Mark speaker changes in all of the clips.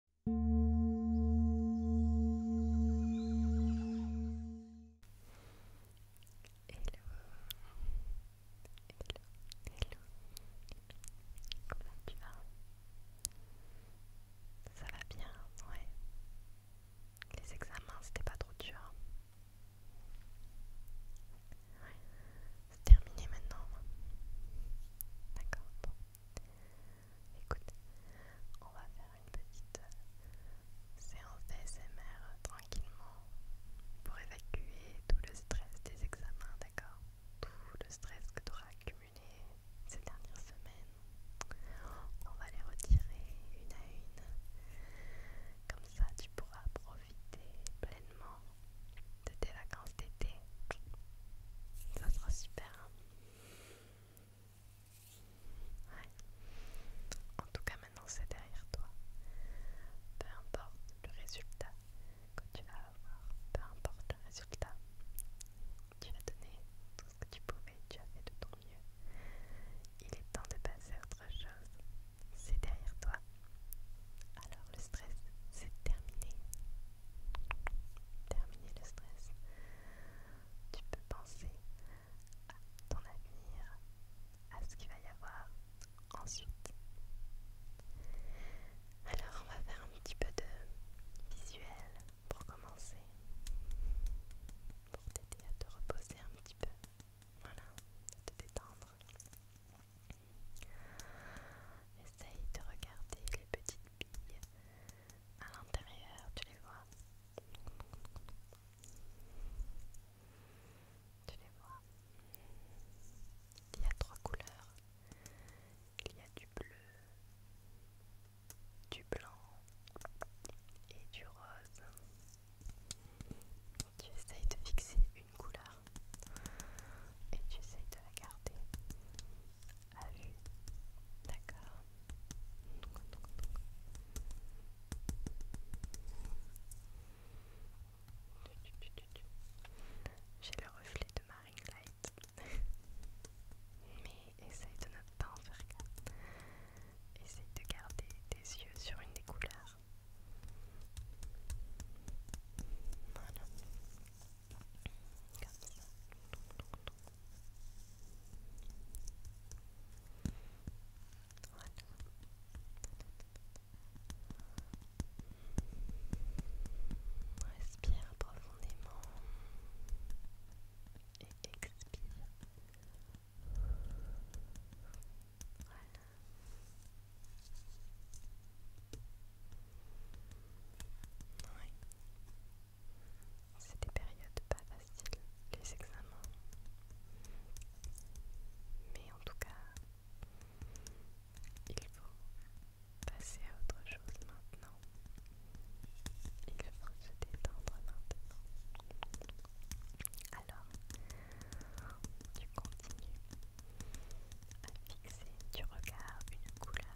Speaker 1: Comment tu vas Ça va bien, ouais. Les examens, c'était pas trop dur. Ouais. C'est terminé maintenant. D'accord, Écoute, on va faire une petite euh, séance d'ASMR euh, tranquillement pour évacuer tout le stress des examens, d'accord Tout le stress que tu auras accumulé ces dernières semaines. On va les retirer une à une. Comme ça, tu pourras profiter pleinement de tes vacances d'été. Ça sera super. Hein Ouais. En tout cas, maintenant c'est derrière toi. Peu importe le résultat que tu vas avoir, peu importe le résultat, tu as donné tout ce que tu pouvais, tu as fait de ton mieux. Il est temps de passer à autre chose. C'est derrière toi. Alors le stress, c'est terminé terminer le stress. Tu peux penser à ton avenir, à ce qu'il va y avoir ensuite. Alors, on va faire un petit peu de visuel pour commencer, pour t'aider à te reposer un petit peu. Voilà, à te détendre. Essaye de regarder les petites billes à l'intérieur, tu les vois Tu les vois Il y a trois couleurs. Il y a du bleu, du blanc et du rose. Tu essayes de fixer une couleur et tu essayes de la garder. Allez, D'accord. J'ai le reflet de Marine light. Mais essaye de ne pas en faire gaffe. Essaye de garder tes yeux sur une des couleurs. Voilà. Respire profondément et expire. Voilà. C'est des périodes pas faciles, les examens. Mais en tout cas, il faut passer à autre chose maintenant. Il faut se détendre maintenant. Alors, tu continues à fixer du regard une couleur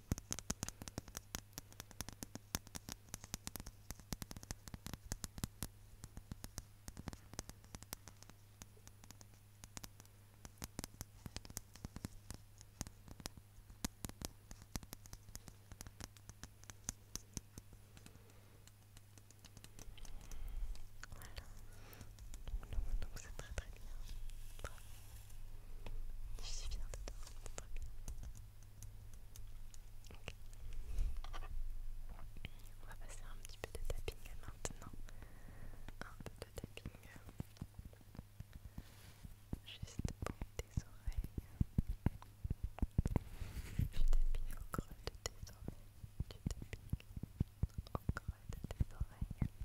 Speaker 1: Voilà. Donc, donc c'est très très bien. Je suis bien dedans, c'est très bien. On va passer un petit peu de tapping maintenant. Un peu de tapping. Juste pour tes oreilles. Du tapping au creux de tes oreilles. Du tapping au creux de tes oreilles.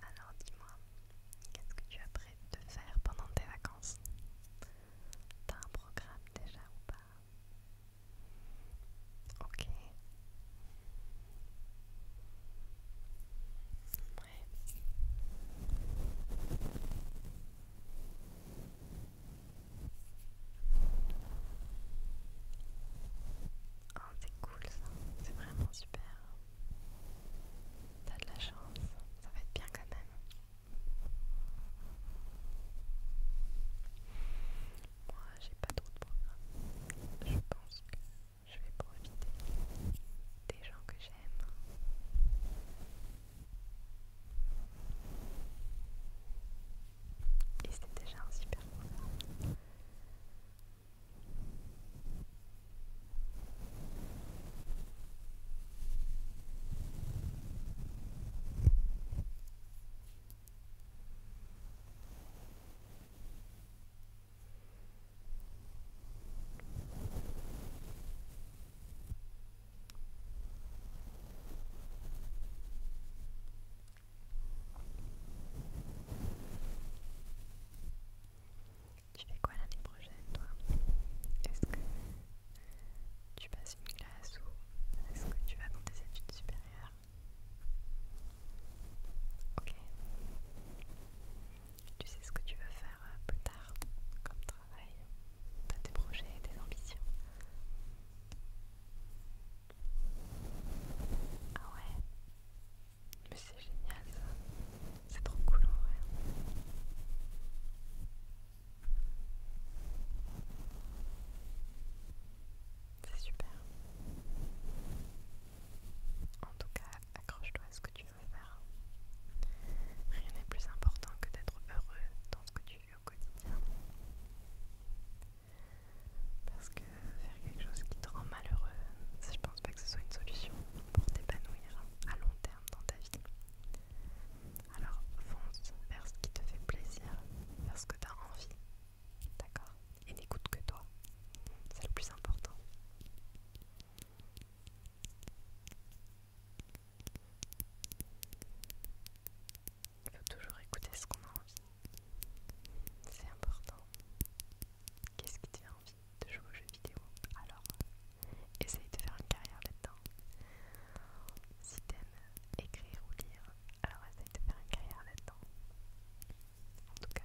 Speaker 1: Alors dis-moi, qu'est-ce que tu as prêt de faire pendant tes vacances T'as un programme déjà ou pas Ok. Ouais. Oh, c'est cool ça, c'est vraiment super. T'as de la chance, ça va être bien quand même. Moi, j'ai pas trop de programme. Je pense que je vais profiter des gens que j'aime. Et c'était déjà un super programme. Tu fais quoi l'année prochaine, toi tu passes une classe ou est-ce que tu vas dans tes études supérieures Ok. Tu sais ce que tu veux faire euh, plus tard comme travail T'as tes projets, tes ambitions Ah ouais Mais c'est génial ça C'est trop cool en vrai c'est super. En tout cas, accroche-toi à ce que tu veux faire. Rien n'est plus important que d'être heureux dans ce que tu fais au quotidien. Parce que faire quelque chose qui te rend malheureux, je pense pas que ce soit une solution pour t'épanouir à long terme dans ta vie. Alors fonce vers ce qui te fait plaisir, vers ce que tu as envie. D'accord Et n'écoute que toi. C'est le plus important. Il faut toujours écouter ce qu'on a envie. C'est important. Qu'est-ce qui t'a envie de jouer aux jeux vidéo Alors, essaye de faire une carrière là-dedans. Si t'aimes écrire ou lire, alors essaye de faire une carrière là-dedans. En tout cas,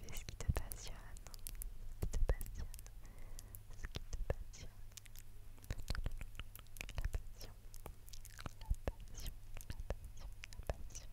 Speaker 1: fais ce qui te passionne, ce qui te passionne, ce qui te passionne. La passion, la passion, la passion, la passion.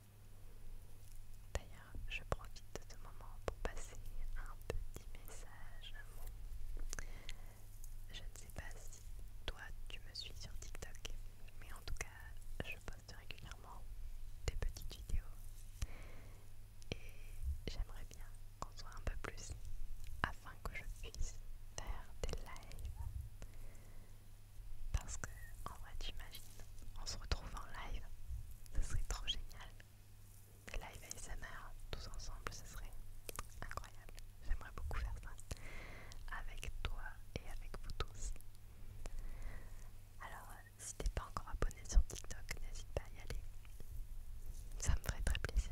Speaker 1: D'ailleurs, je profite de ce moment pour passer un petit message. Je ne sais pas si toi tu me suis sur TikTok, mais en tout cas, je poste régulièrement des petites vidéos et j'aimerais bien qu'on soit un peu plus afin que je puisse faire des lives parce que en vrai, imagines on se retrouve en live, ce serait trop génial. Des sa mère tous ensemble, ce serait incroyable. J'aimerais beaucoup faire ça avec toi et avec vous tous. Alors, euh, si t'es pas encore abonné sur TikTok, n'hésite pas à y aller. Ça me ferait très plaisir.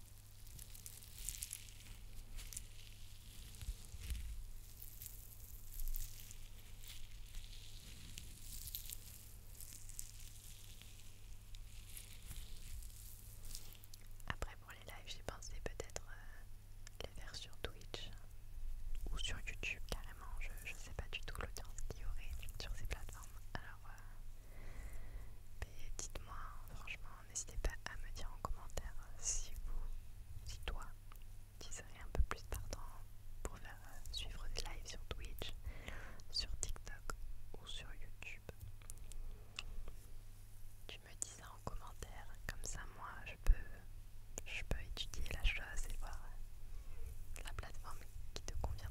Speaker 1: Après pour les lives, j'ai pensé peut-être euh, les faire sur Twitch ou sur YouTube carrément. Je, je sais pas du tout l'audience qu'il y aurait sur ces plateformes. Alors euh, et dites-moi, franchement, n'hésitez pas à me dire en commentaire euh, si vous, si toi, tu serais un peu plus partant pour faire euh, suivre des lives sur Twitch, sur TikTok ou sur YouTube. Tu me dis ça en commentaire, comme ça moi je peux, je peux étudier la chose et voir la plateforme qui te convient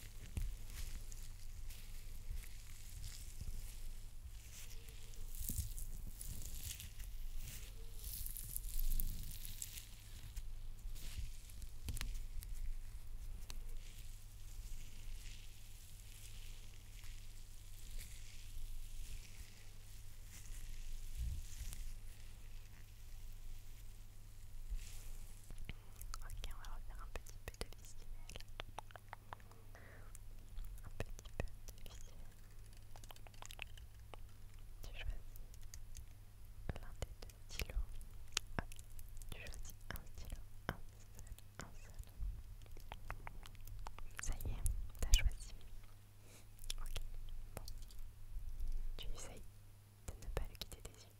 Speaker 1: Ok, on va refaire un petit peu de visuel un petit peu difficile. Tu choisis l'un des deux stylos. tu choisis un stylo, un seul, un seul. Ça y est, t'as choisi. Ok, bon. Tu essayes de ne pas le quitter des yeux.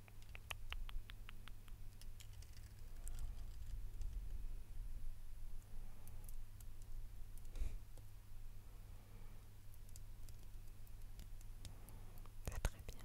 Speaker 1: C'est très bien.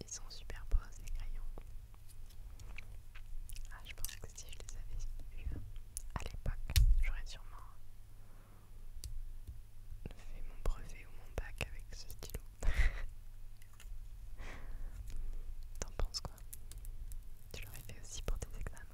Speaker 1: Ils sont super beaux ces crayons. Ah, je pense que si je les avais eu à l'époque, j'aurais sûrement Fais mon brevet ou mon bac avec ce stylo. T'en penses quoi Tu l'aurais fait aussi pour tes examens.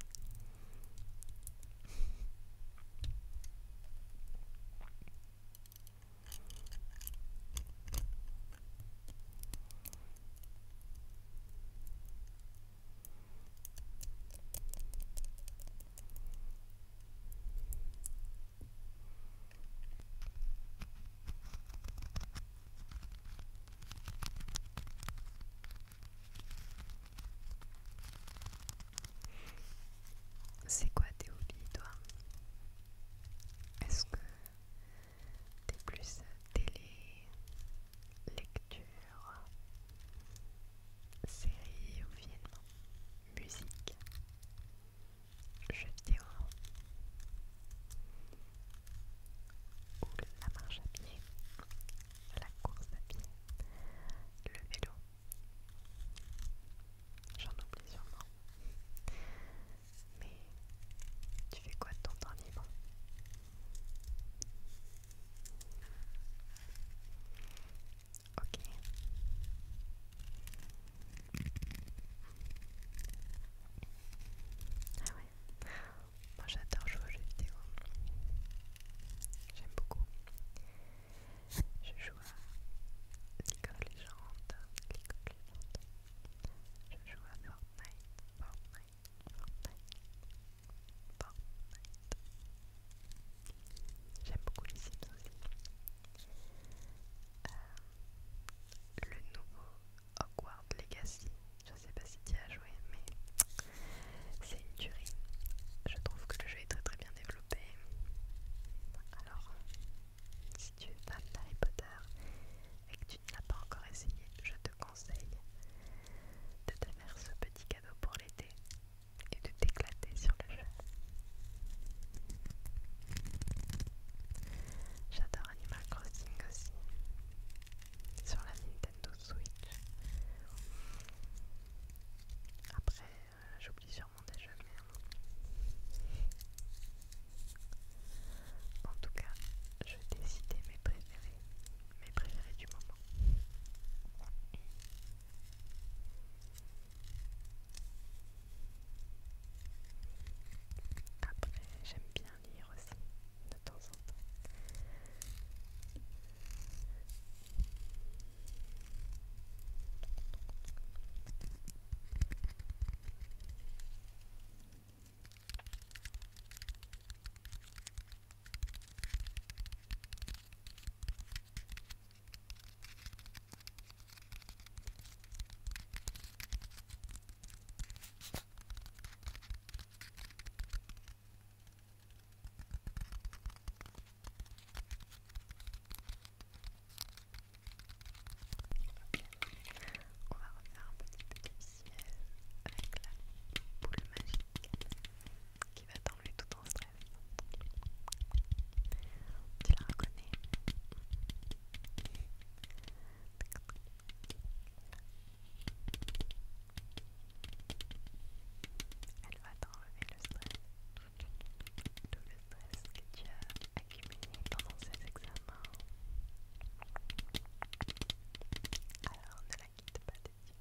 Speaker 1: C'est quoi tes hobbies, toi Est-ce que t'es plus télé, lecture, série ou film musique, jeux vidéo ou la marche à pied, la course à pied, le vélo. J'en oublie sûrement. Mais tu fais quoi de ton temps libre Ok. Ah ouais. Moi j'adore jouer aux jeux vidéo. J'aime beaucoup. Je joue à League of Legends. League of Legends. Je joue à Fortnite. Fortnite. Fortnite. Fortnite. J'aime beaucoup les Sims aussi. Euh, le nouveau Hogwarts Legacy, je sais pas si tu as joué, mais c'est une tuerie. Je trouve que le jeu est très très bien développé. Alors, si tu es fan d'Harry Potter et que tu ne l'as pas encore essayé, je te conseille de te faire ce petit cadeau pour l'été et de t'éclater sur le jeu. J'adore Animal Crossing aussi sur la Nintendo Switch. Après, euh, j'oublie sûrement des jeux, mais. Euh, en tout cas, je vais décider mes préférés, mes préférés du moment. Après, j'aime bien lire aussi, de temps en temps. On va refaire un petit peu avec la boule magique. Elle va t'enlever tout ton stress. Tu la reconnais Elle va t'enlever le stress, tout le stress que tu as accumulé pendant ces examens. Alors ne la quitte pas dessus,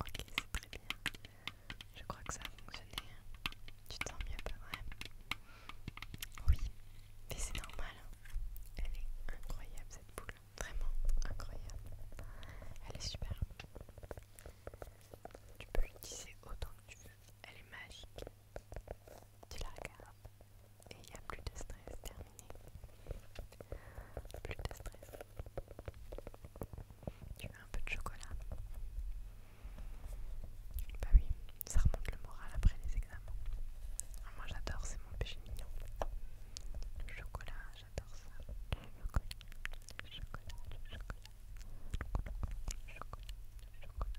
Speaker 1: Ok, c'est très bien. Je crois que ça a fonctionné. Tu te sens mieux, pas vrai Oui, mais c'est normal. Hein. Elle est incroyable cette boule. Vraiment incroyable. Elle est super. Tu peux l'utiliser autant que tu veux. Elle est magique. Tu la regardes et il n'y a plus de stress. Terminé. Plus de stress. Tu veux un peu de chocolat Bah oui, ça remonte le moral après les examens. Ah, moi j'adore, c'est mon péché mignon. Le chocolat, j'adore ça. chocolat, chocolat, chocolat. chocolat, chocolat, chocolat.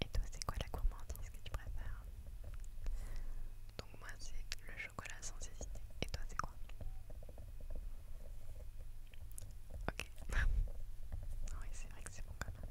Speaker 1: Et toi, c'est quoi la gourmandise que tu préfères Donc moi, c'est le chocolat sans hésiter. Et toi, c'est quoi Ok. oui, c'est vrai que c'est bon quand même.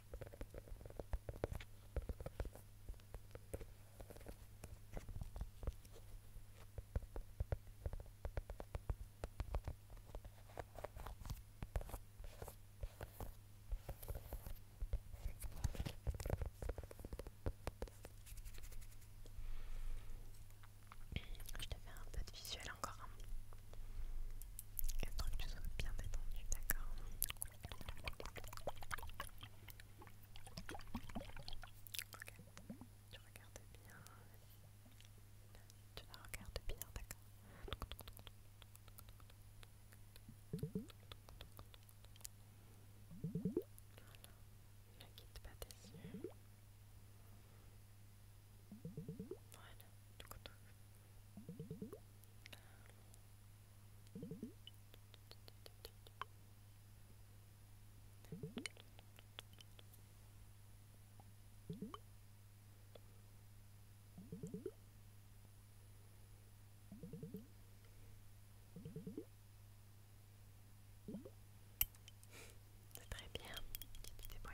Speaker 1: Je te fais un peu de visuel encore. Un truc sois bien détendu, d'accord tu regardes bien. Tu la regardes bien, d'accord. Voilà. Ne quitte pas tes yeux. Voilà. Voilà. C'est très bien, bien.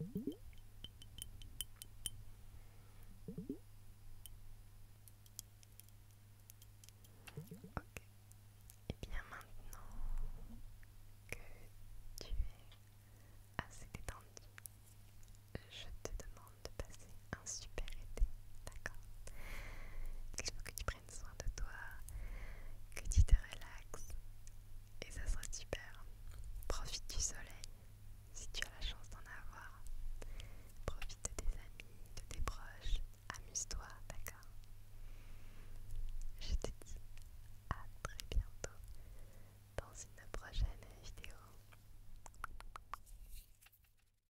Speaker 1: Ok. Et eh bien maintenant que tu es assez détendu, je te demande de passer un super été, d'accord Il faut que tu prennes soin de toi, que tu te relaxes, et ça sera super. Profite du soleil, si tu as la chance d'en avoir. Profite de tes amis, de tes proches, amuse-toi, d'accord Je te dis à très bientôt dans une prochaine vidéo.